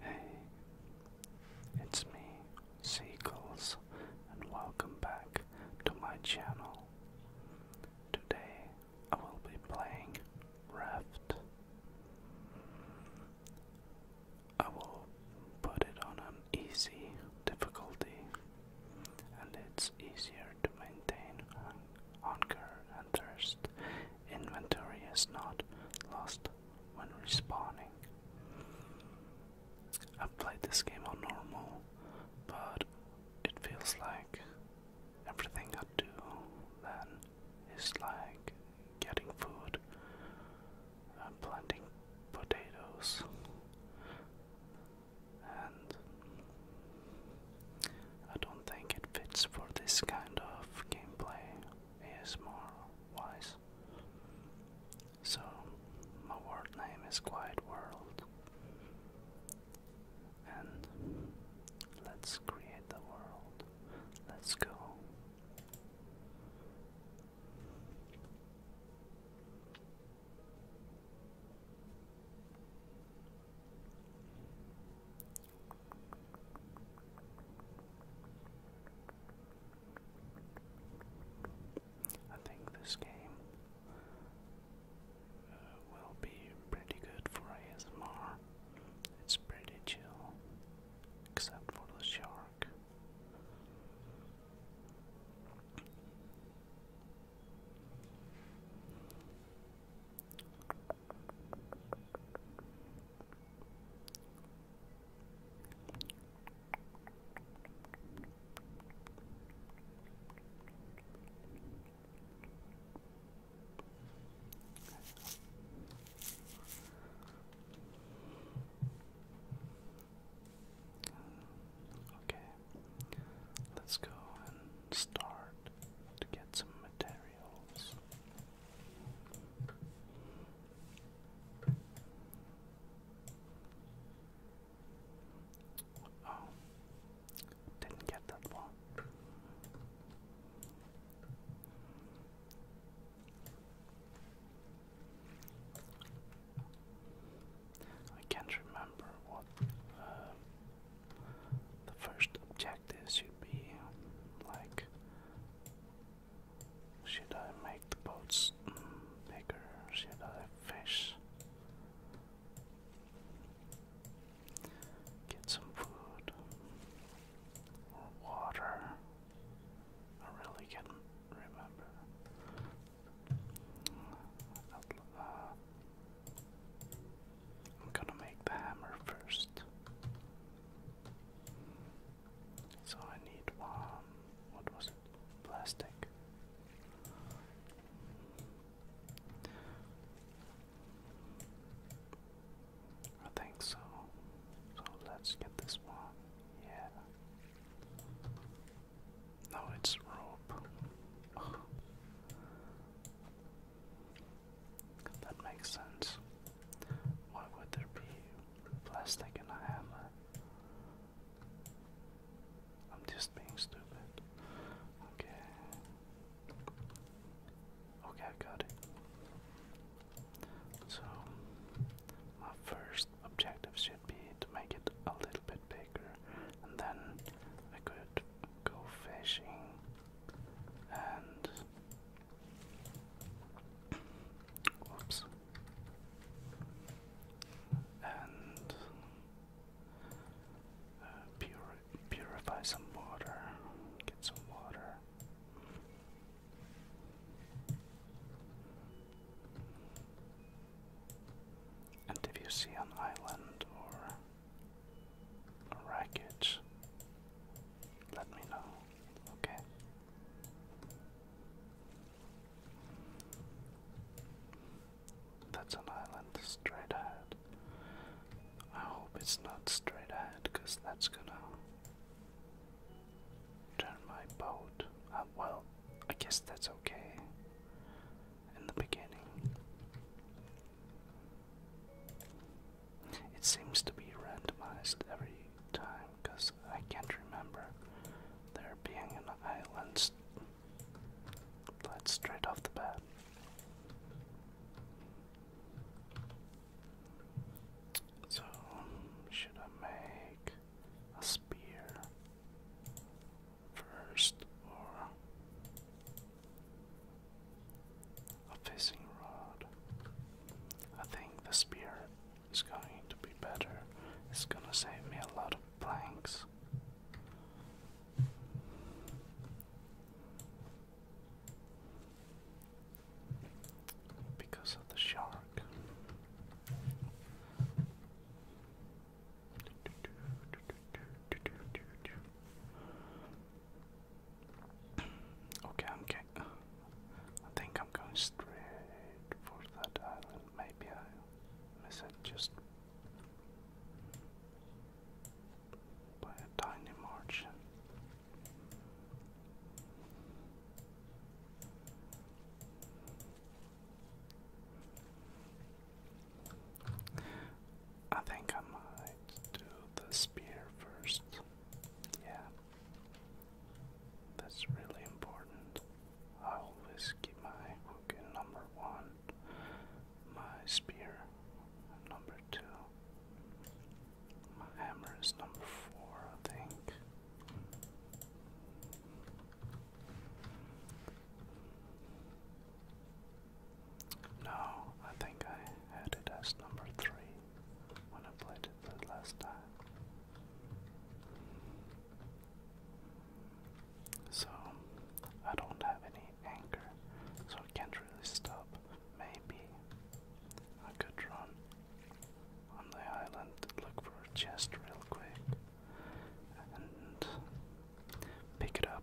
Hey, it's me, Seagulls, and welcome back to my channel. Today I will be playing Raft. I will put it on an easy difficulty, and it's easier to maintain hunger and thirst. Inventory is not lost when respawning. I've played this game on normal, but it feels like everything I do then is like getting food, and planting potatoes, and I don't think it fits for this kind of gameplay It is more wise. So my world name is Quiet World and let's create the world. Let's go. I think this game uh, will be pretty good for ASMR. It's pretty chill, except for the shark. Okay, let's go and start to get some materials. Oh, didn't get that one. I can't remember what uh, the first objective should be like should I make the boats bigger? Should I fish? Get some food or water. I really can't remember. Uh, I'm gonna make the hammer first. So I need one. What was it? Plastic. I think so. So let's get this one. Yeah. No, it's rope. That makes sense. Why would there be plastic in a hammer? I'm just being stupid. Okay. Okay, I got it. So, my first objective should be to make it a little bit bigger, and then I could go fishing and whoops and uh, purify some water, get some water. And if you see an island or wreckage. Let me know. Okay. That's an island straight ahead. I hope it's not straight ahead because that's gonna turn my boat. Uh, well, I guess that's okay in the beginning. It seems to be randomized every time because I can't remember there being an island Let's straight off the bat. So, should I make a spear first or a fishing rod. I think the spear is going to be better. It's gonna save me a lot of planks. Because of the shark. Okay, okay. I think I'm going straight for that island. Maybe I miss it just by a tiny margin. I think I might do the spear first. Yeah. That's really important. I always keep my hook in number one, my spear in number two, my hammer is number four, I think. No, I think I had it as number three when I played it the last time. So, I don't have any anger, so I can't really stop. Maybe I could run on the island, look for a chest real quick, and pick it up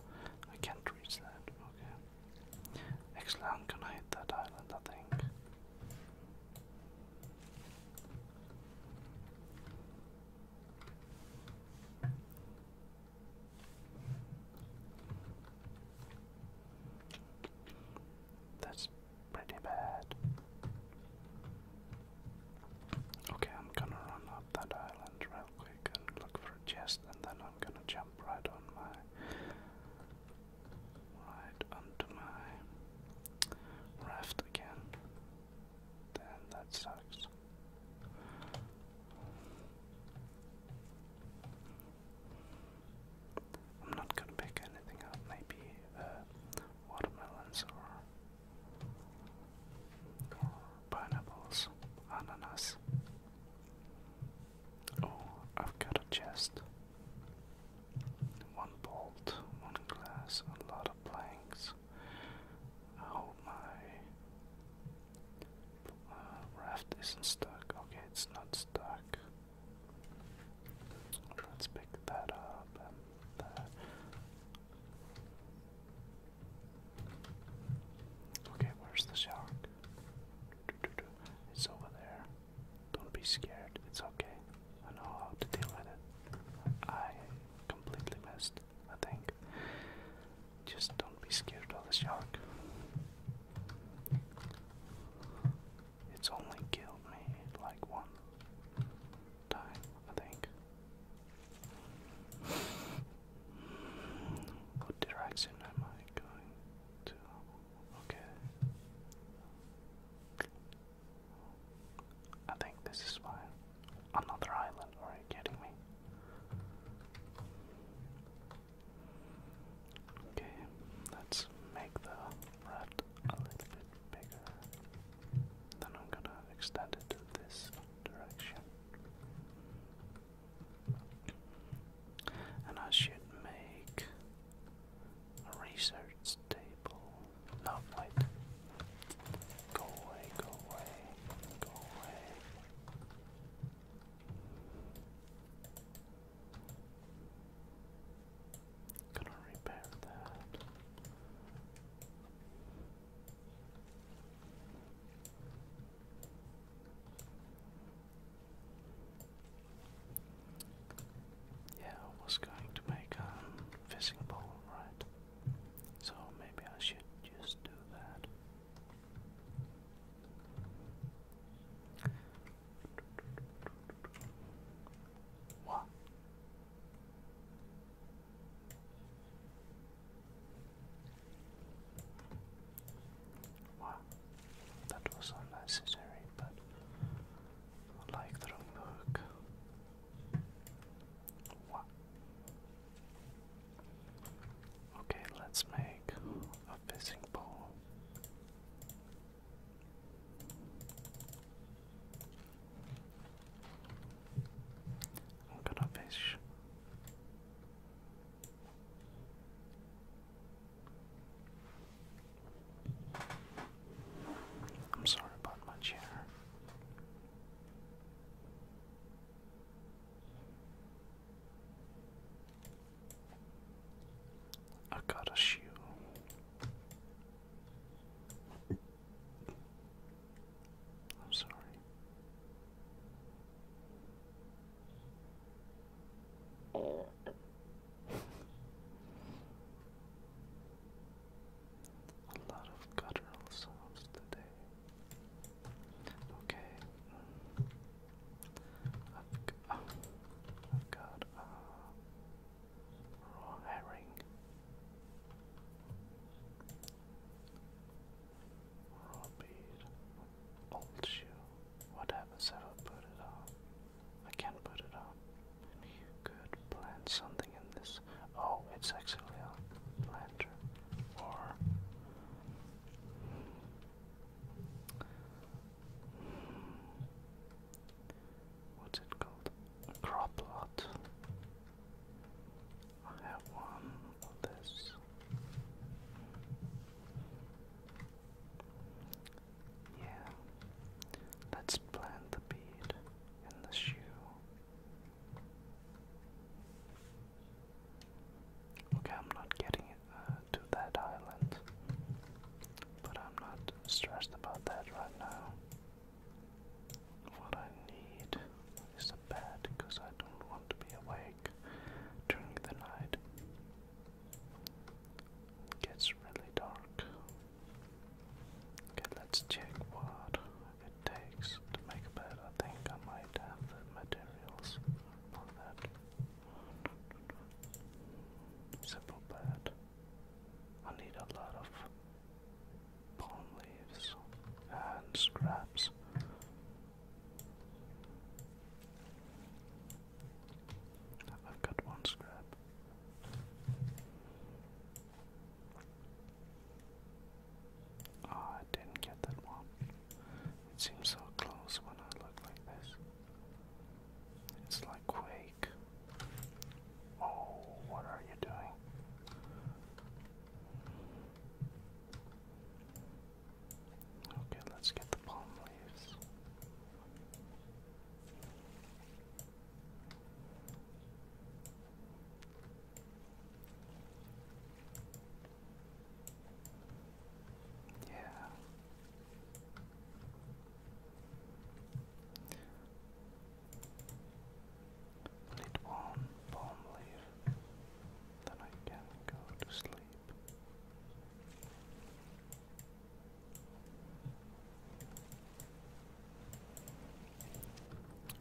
I can't reach that, okay. Actually, i hit that island, I think. That's pretty bad. Okay, I'm gonna run up that island real quick and look for a chest, and then I'm gonna jump right on my. Right onto my raft again. Then that sucks. I'm not gonna pick anything up, maybe uh, watermelons or Pineapples, ananas. Oh, I've got a chest. One bolt, one glass, a lot of planks. I oh hope my uh, raft isn't stuck. Okay, it's not stuck. Let's pick that up uh, Okay, where's the shark? It's over there. Don't be scared. It's okay. I know how to deal with it. I completely missed, I think. Just don't be scared of the shark. It's only killed me like one time, I think. What direction am I going to? Okay. I think this is fine. Another island, are you kidding me? Okay, let's make the raft a little bit bigger. Then I'm gonna extend it to this direction. And I should make a research table. No, wait. Go away, go away, go away. Gonna repair that. Yeah, I was going to make a fishing pole, right? So maybe I should just do that. What? Wow, that was unnecessary, but like throwing the hook. Wow. Okay, let's make a fishing pole. I'm fish. I'm sorry about my chair. I got a shoe. I'm sorry. A lot of guttural sounds today. Okay. I've, got uh, raw herring. Raw bead. Old shoe. What happens if I put it on? I can't put it on. You could plant something in this. Oh, it's actually a planter. Or. What's it called? crop lot. I have one of this. Yeah. Let's plant the bead in the shoe. Okay, I'm not getting uh, to that island, but I'm not stressed about that right now. What I need is a bed because I don't want to be awake during the night. gets really dark. Okay, let's check what it takes to make a bed. I think I might have the materials for that. Simple bed. I need a lot of palm leaves and scraps. I've got one scrap. Oh, I didn't get that one. It seems so close when I look like this. It's like Quake. Oh, what are you doing? Okay, let's get the palm leaves. Yeah. Need one palm leaf, then I can go to sleep.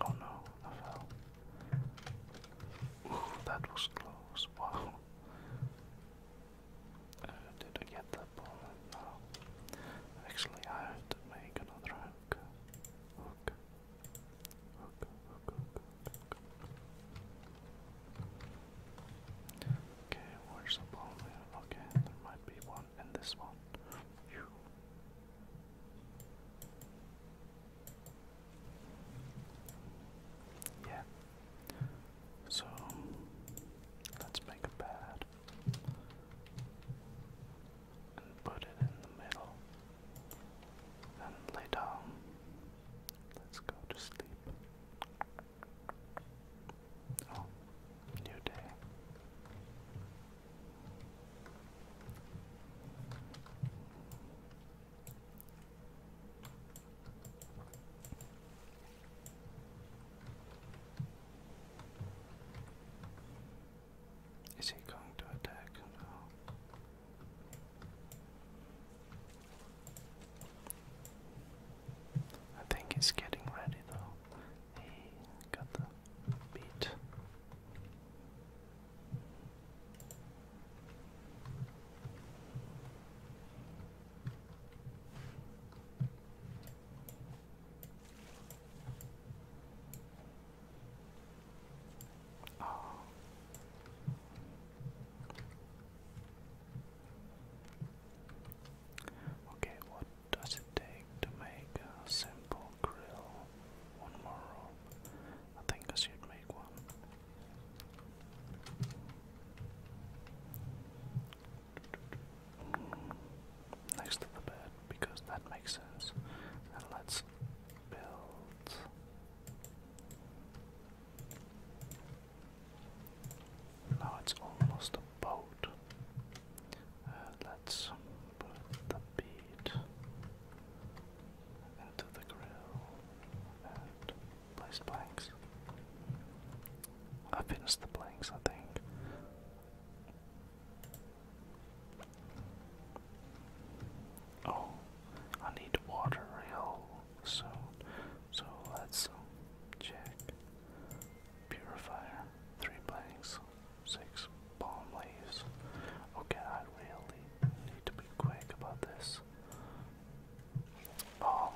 Oh no, I fell. Ooh, that was close. Wow. Uh, did I get that ball? No. Actually, I have to make another hook. hook. Okay, where's the ball Okay, there might be one in this one. You. Yeah. So let's make a pad and put it in the middle. Then lay down. Let's go to sleep. Oh, new day. Is he going to attack? No. I think he's getting ready though. He got the beat. Oh. Okay, what does it take to make a simple grill? One more rope. I think I should make one. Next to the bed because that makes sense. And let's now it's almost a boat. Uh, let's put the bead into the grill and place planks. I finished the planks, I think. Oh, I need water real soon, so let's check. Purifier, three blanks, six palm leaves. Okay, I really need to be quick about this. Um,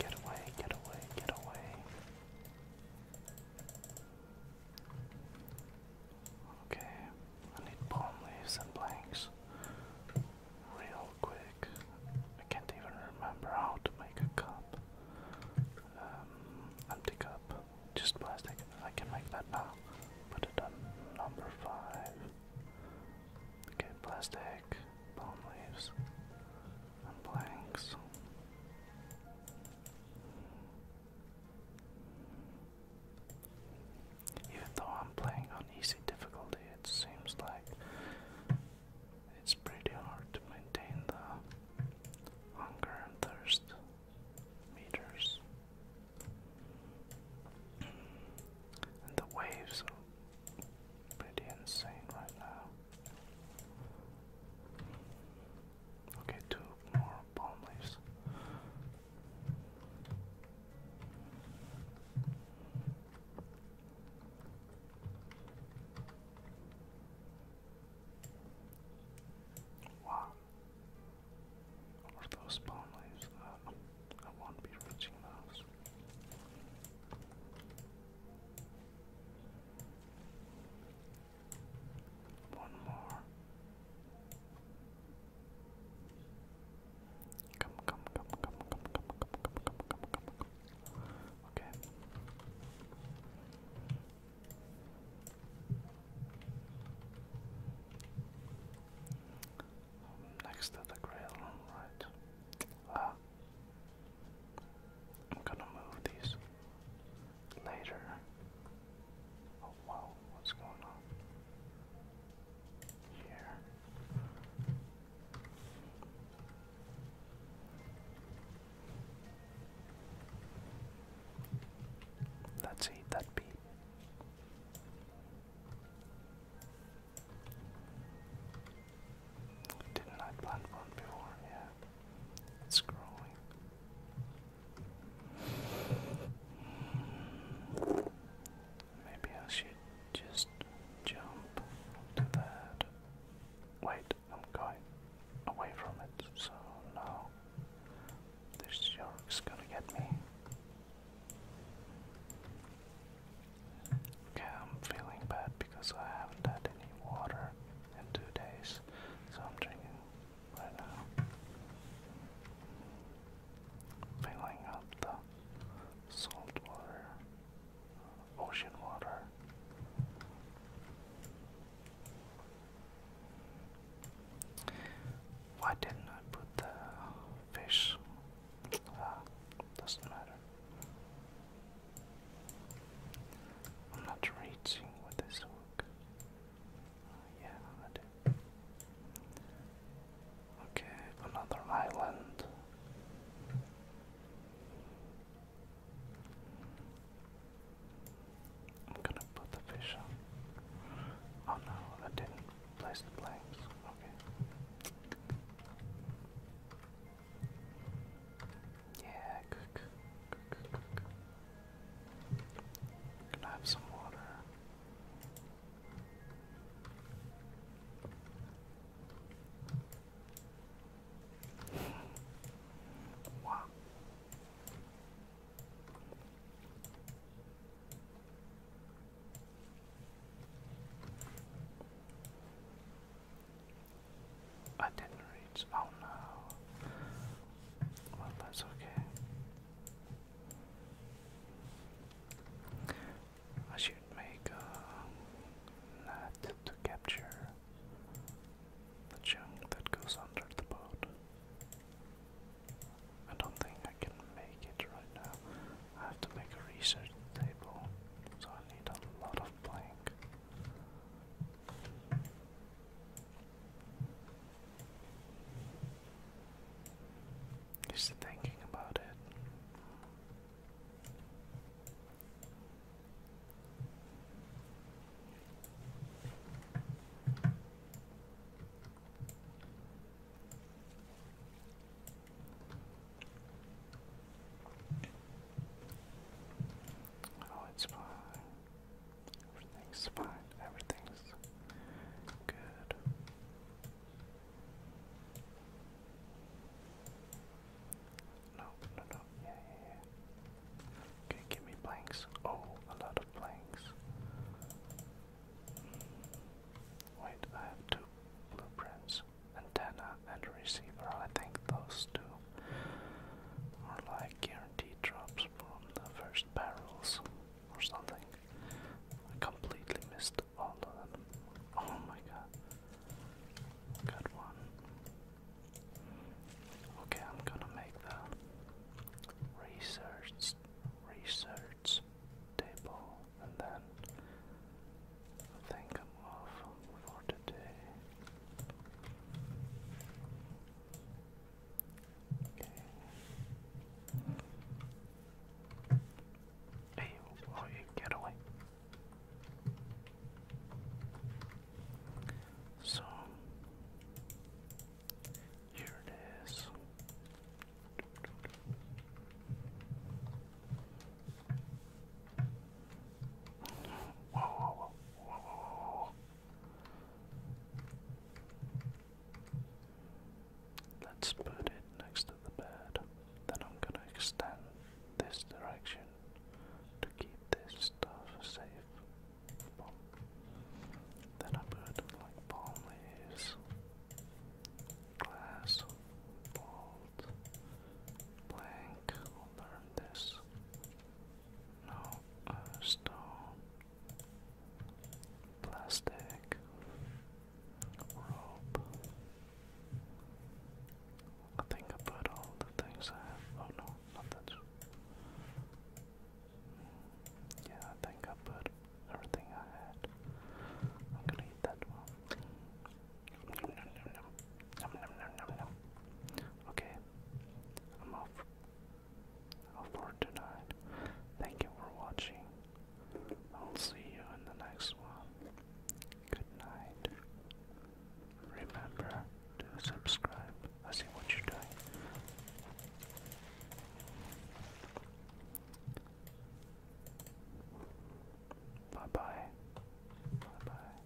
Get away, get away, get away. Okay, I need palm leaves and blanks real quick. I can't even remember how to make a cup. Um, empty cup, just plastic. I can make that now. Put it on number five. Okay, plastic, palm leaves and Even though I'm playing on easy difficulty, it seems like it's pretty hard to maintain the hunger and thirst meters. the waves are pretty insane right now. Okay, two more palm leaves. Wow. Where those palm leaves? I won't be reaching those. One more. Come, come, come, come, come, come, come, come, come, come, come, come. Okay. Next to the grill, right? Ah. I'm gonna move these later. Oh wow, what's going on here? Let's that beat. Didn't I plant one before? Yeah. It's growing. Maybe I should just jump to that. Wait, I'm going away from it, so now this shark's gonna get me. Okay, I'm feeling bad because I haven't had any water in two days, so I'm drinking right now. Filling up the salt water, ocean water. Why didn't I put the fish? Ah, doesn't matter. I'm not reaching with this hook. Uh, yeah, I do. Okay, another island. I'm gonna put the fish on. Oh no, I didn't place the planks. Okay. Yeah, cook, some water? Wow. I didn't reach. Oh no. Well, that's okay. I should make uh, a net to capture the chunk that goes under the boat. I don't think I can make it right now. I have to make a research table, so I need a lot of blank. Just thinking about it. Oh, it's fine. Everything's fine. Everything's good. No, no, no. Yeah, yeah, yeah. Okay, give me blanks. Oh, a lot of blanks. Wait, I have two blueprints antenna and receiver. I think those two are like like drops from the first barrels or something. I completely missed all of them. Oh my god. Got one. Okay, I'm gonna make the research research table and then think i for today. Okay. Hey, you get away. So here it is. whoa. Let's put it next to the bed. Then I'm gonna extend this direction to keep this stuff safe. Then I put like palm leaves, glass, bolt, blank. i this. No, uh, stone, plastic, rope. I think I put all the things I have. Oh no, not that. Yeah, I think I put everything I had. I'm gonna eat that one. Nom, nom, nom, nom. Nom, nom, nom, nom, nom. Okay, I'm off for tonight. Thank you for watching. I'll see you in the next one. Good night. Remember to subscribe. I see what you're doing. Bye bye. Bye bye.